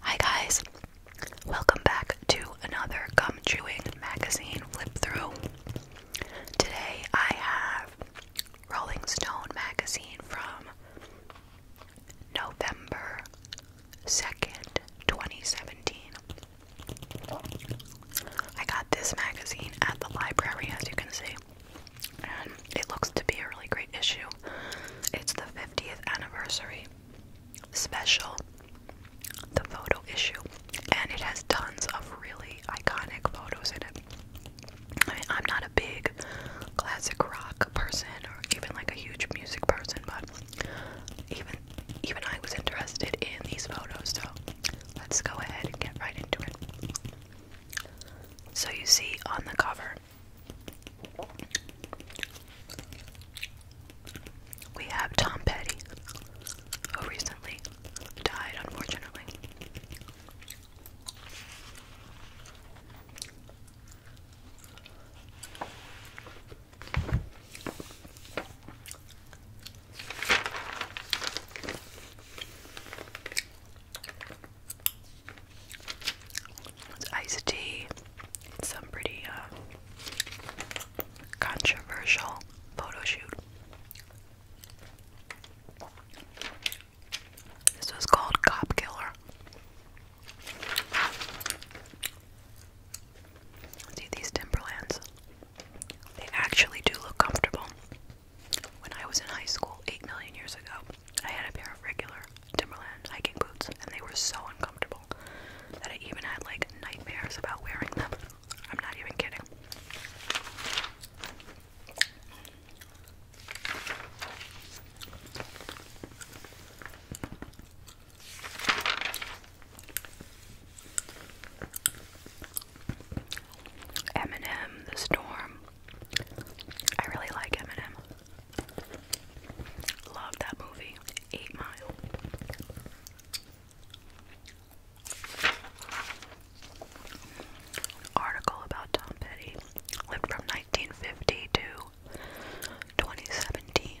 Hi guys, welcome back to another gum chewing magazine flip through. Today I have Rolling Stone magazine from November 2nd, 2017. I got this magazine at the library, as you can see and it looks to be a really great issue. It's the 50th anniversary special, the photo issue, and it has tons of really iconic photos in it. I mean, I'm not a big classic rock person or even like a huge music person, but even even I was interested in these photos, so let's go ahead and get right into it. So you see on the cover, we have Tom Petty, who recently died, unfortunately. It's iced tea. It's some pretty uh, controversial photo shoot. This was called Cop Killer. See these Timberlands? They actually do look comfortable. When I was in high school, 8 million years ago, I had a pair of regular Timberland hiking boots, and they were so uncomfortable that I even had like nightmares about wearing them. I'm not even kidding. Eminem, The Storm. I really like Eminem. Love that movie, Eight Mile. Article about Tom Petty lived from 1950 to 2017.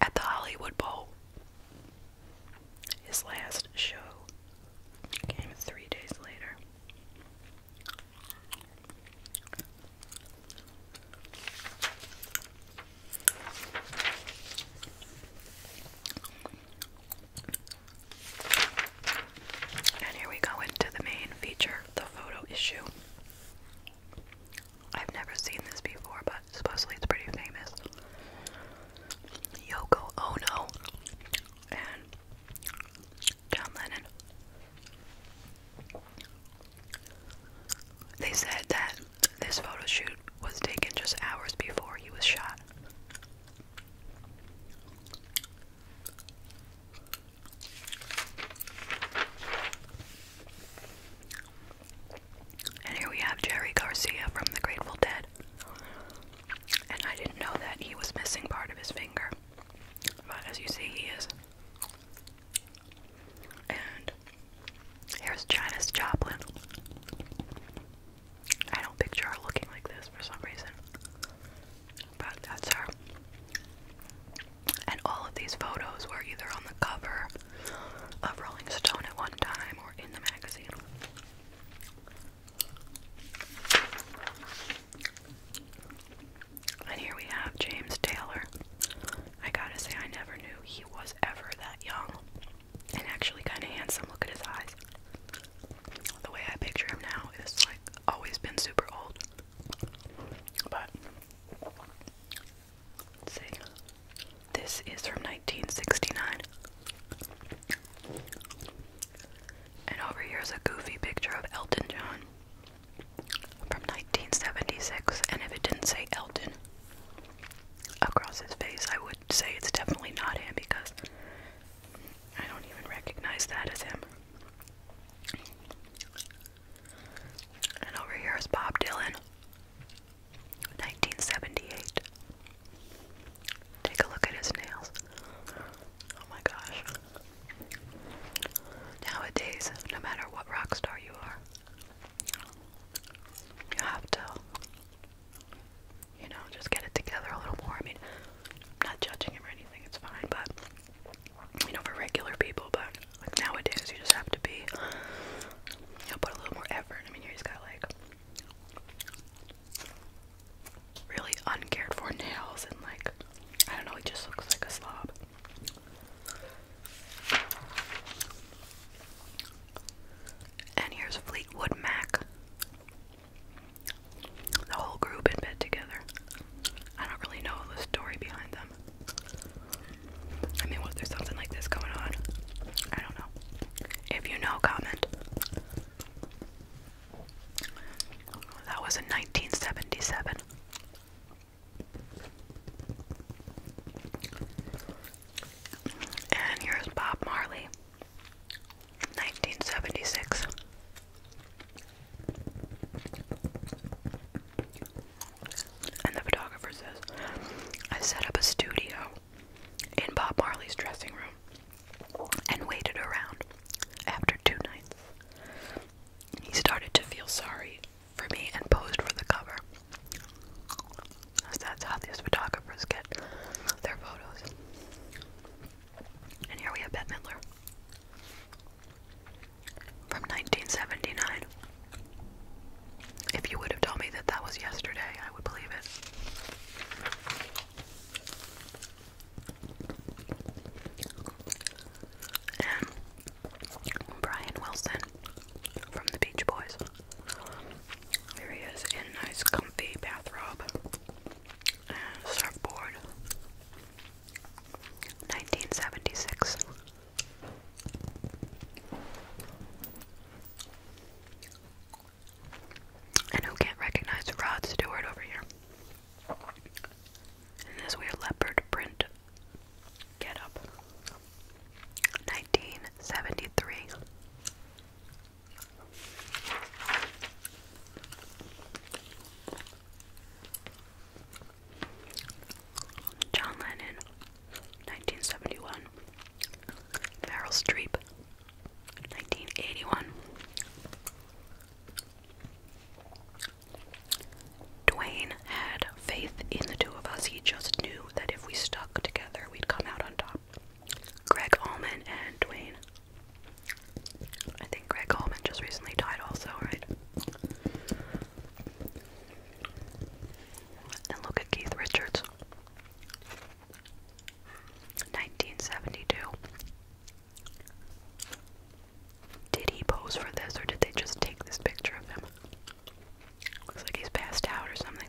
at the Hollywood Bowl. His last show came three days later. And here we go into the main feature, the photo issue. I've never seen this before, but supposedly it's pretty famous. Yoko Ono and John Lennon. They said that this photo shoot was taken just hours before he was shot. And here we have Jerry Garcia from the Grateful Dead. And I didn't know that he was missing part of his finger. But as you see, he is. And here's Janice Joplin. I don't picture her looking like this for some reason. But that's her. And all of these photos were either on the cover of Rolling Stone at one time or in the magazine. And here we have James Taylor. I gotta say, I never knew he was ever that young. And actually, kind of handsome. Look at his eyes. The way I picture him now is like always been super old. But see. This is from 1969. And over here is a goofy picture of Elton John from 1976. And if it didn't say Elton across his face, I would say it's definitely not him because I don't even recognize that as him. And over here is Bob Dylan, 1978. Take a look at his nails. Oh my gosh. Nowadays, no matter what rock star you are, you have to, you know, just get it together a little more. I mean, not judging him or anything, it's fine, but you know, for regular people, but like nowadays you just have to be, you know, put a little more effort. I mean, you just got like really uncared for nails and like, I don't know, he just looks like a slob. And here's Fleetwood Mac. The whole group in bed together. I don't really know the story behind them. I mean, was there something like this going on? I don't know. If you know, comment. That was in 1977. And here's Bob Marley, 1976. And the photographer says, I set up a studio in Bob Marley's dressing room and waited around. After two nights, he started to feel sorry for me and posed for the cover. That's how these photographers get their photos. And here we have Bette Midler from 1979. If you would have told me that that was yesterday, I would believe it. And Brian Wilson from the Beach Boys. There he is in nice comfy bathrobe and surfboard. 1976. And who can't recognize Rod Stewart over here? this weird leopard print. Get up. 1973. John Lennon, 1971. Meryl Streep, 1981. Dwayne had faith in the two of us. He just knew that if we stuck together, we'd come out on top. Greg Allman and Dwayne. I think Greg Allman just recently died, also, right? And look at Keith Richards. 1972. Did he pose for this or did they just take this picture of him? Looks like he's passed out or something.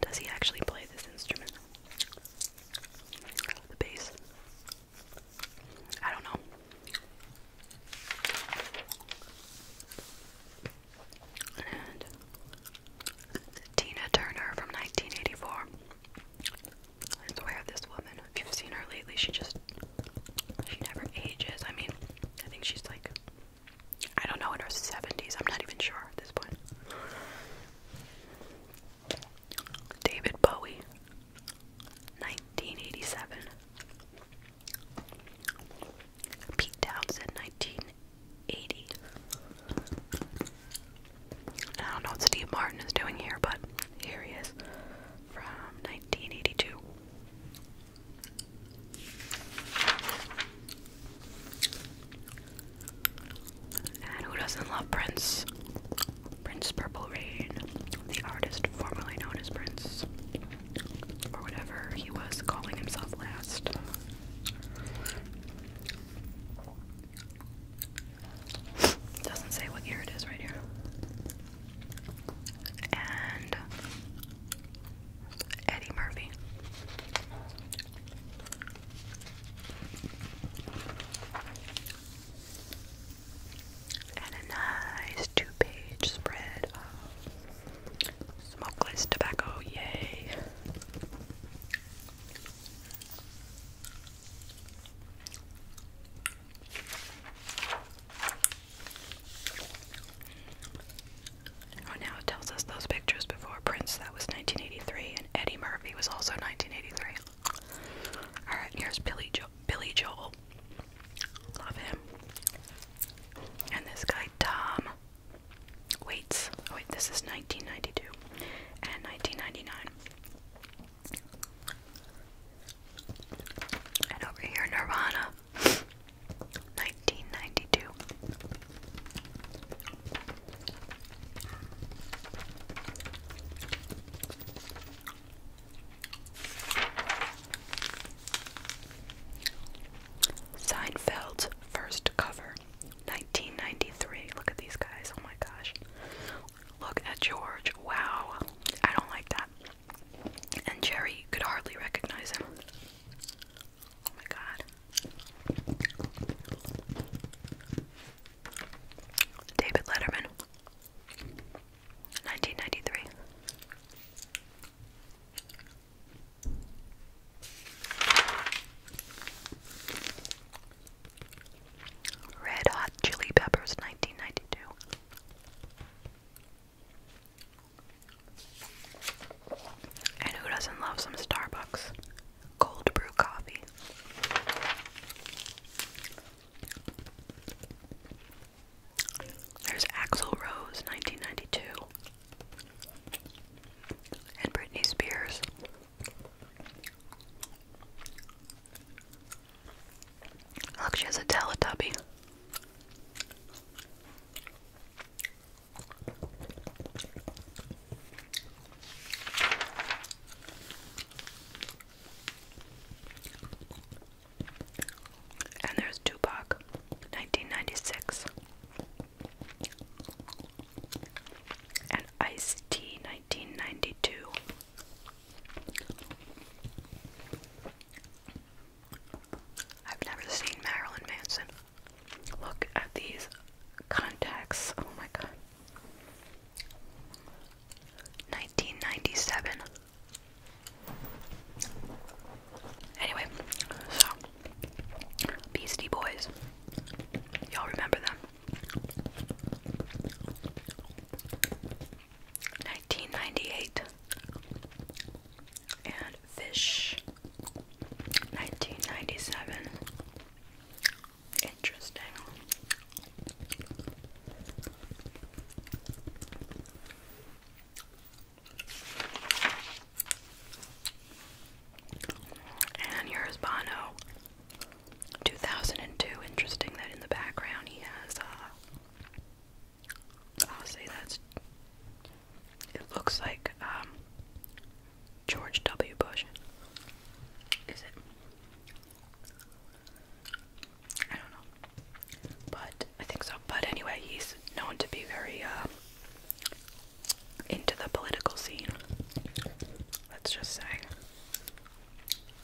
Does he actually play this instrument? The bass? I don't know. And Tina Turner from 1984. I swear this woman, if you've seen her lately, she just, she never ages. I mean, I think she's like I don't know, in her 70s. I'm not even sure at this point. David Bowie, 1987. Pete Townsend, 1980. I don't know what Steve Martin is doing here, but here he is from 1982. And who doesn't love Prince? Prince Purple Rain, the artist formerly known as Prince, or whatever he was calling himself last. Doesn't say what year it is right here. And Eddie Murphy. And a nice two page spread of smokeless tobacco, yay! Oh, now it tells us those pictures before Prince, that was 1983, and Eddie Murphy was also 1983. Alright, here's Billy, Joe. Billy Joel. Love him. And this guy, Tom Waits. Oh, wait, this is 1992 and 1999. And over here, Nirvana. 1992. Seinfeld's first cover, 1993. Look at these guys. Oh my gosh. Look at George. Wow. I don't like that and Jerry could hardly recognize him. Oh my god. David Letterman, 1993. Red Hot Chili Peppers, 1992. And who doesn't love some Starbucks cold brew coffee? There's Axl Rose, 1992, and Britney Spears. Look, she has a Teletubby. And there's Tupac, 1996. And Ice T, 1992. I've never seen Marilyn Manson. Look at these contacts. Oh my god. 1997. Anyway, so Beastie Boys. Y'all remember them? 1998 and Fish 1997 Interesting and here's 2002 interesting that in the background he has a. Uh, I'll say that's. It looks like um, George W. Bush. Is it? I don't know, but I think so. But anyway, he's known to be very uh, into the political scene. Let's just say.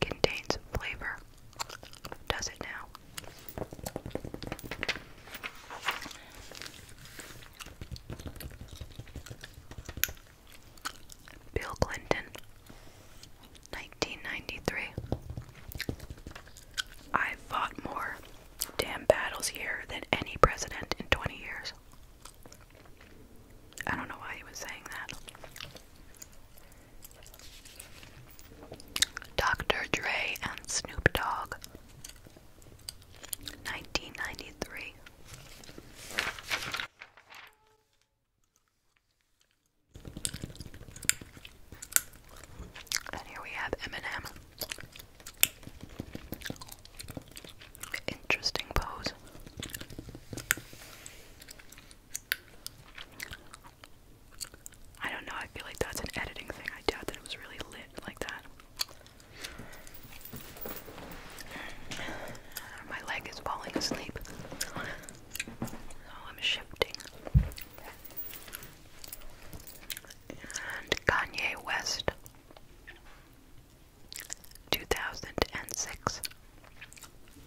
contains flavor. Does it now? Bill Clinton, 1993. I've fought more damn battles here than any president in 20 years. I don't know why he was saying that. Dr. Dre and Snoop Dogg, 1993. And here we have Eminem. Interesting pose. I don't know, I feel like that's an editing thing. I doubt that it was really lit like that. My leg is falling asleep. So I'm shifting. And Kanye West 2006.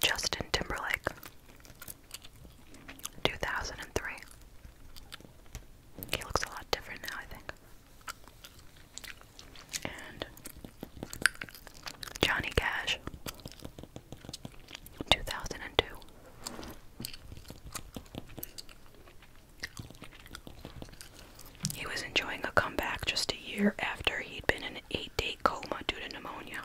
Justin Timberlake, 2003. He looks a lot different now, I think. And Johnny Cash, 2002. He was enjoying a comeback just a year after he'd been in an eight day coma due to pneumonia.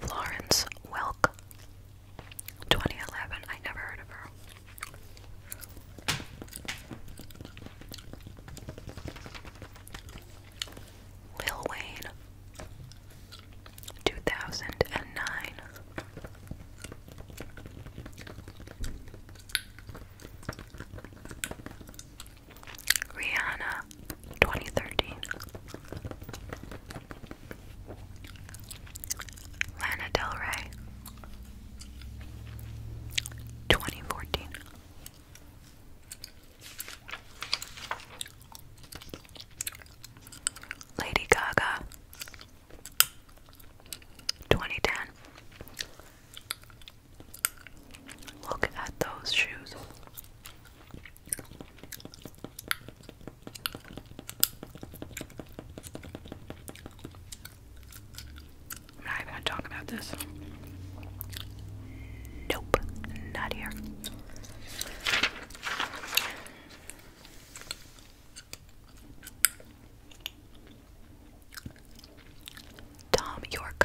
Florence Welk, 2011. I never heard of her. Lil Wayne, 2009. Rihanna 2013 Lana Del Rey 2014 Lady Gaga 2010 Look at those shoes. I'm not even gonna talk about this. Nope, not here. Tom York.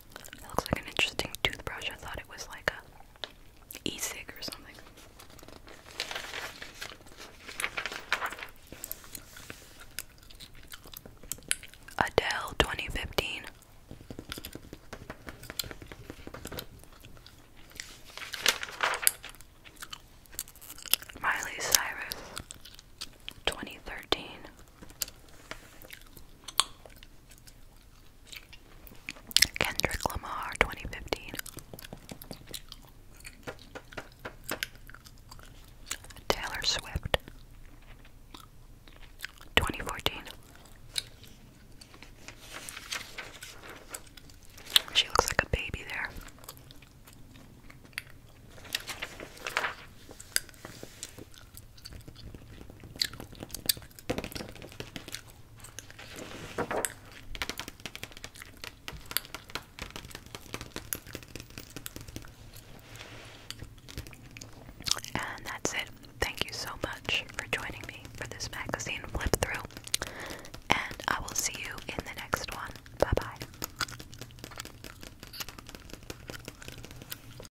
It looks like an interesting toothbrush. I thought it was like a e-cig or something. Adele 2015. Miley Cyrus 2013 Kendrick Lamar 2015 Taylor Swift 2014 She looks like a baby there. And that's it. Thank you so much for joining me for this magazine flip through. And I will see you in the next one. Bye bye.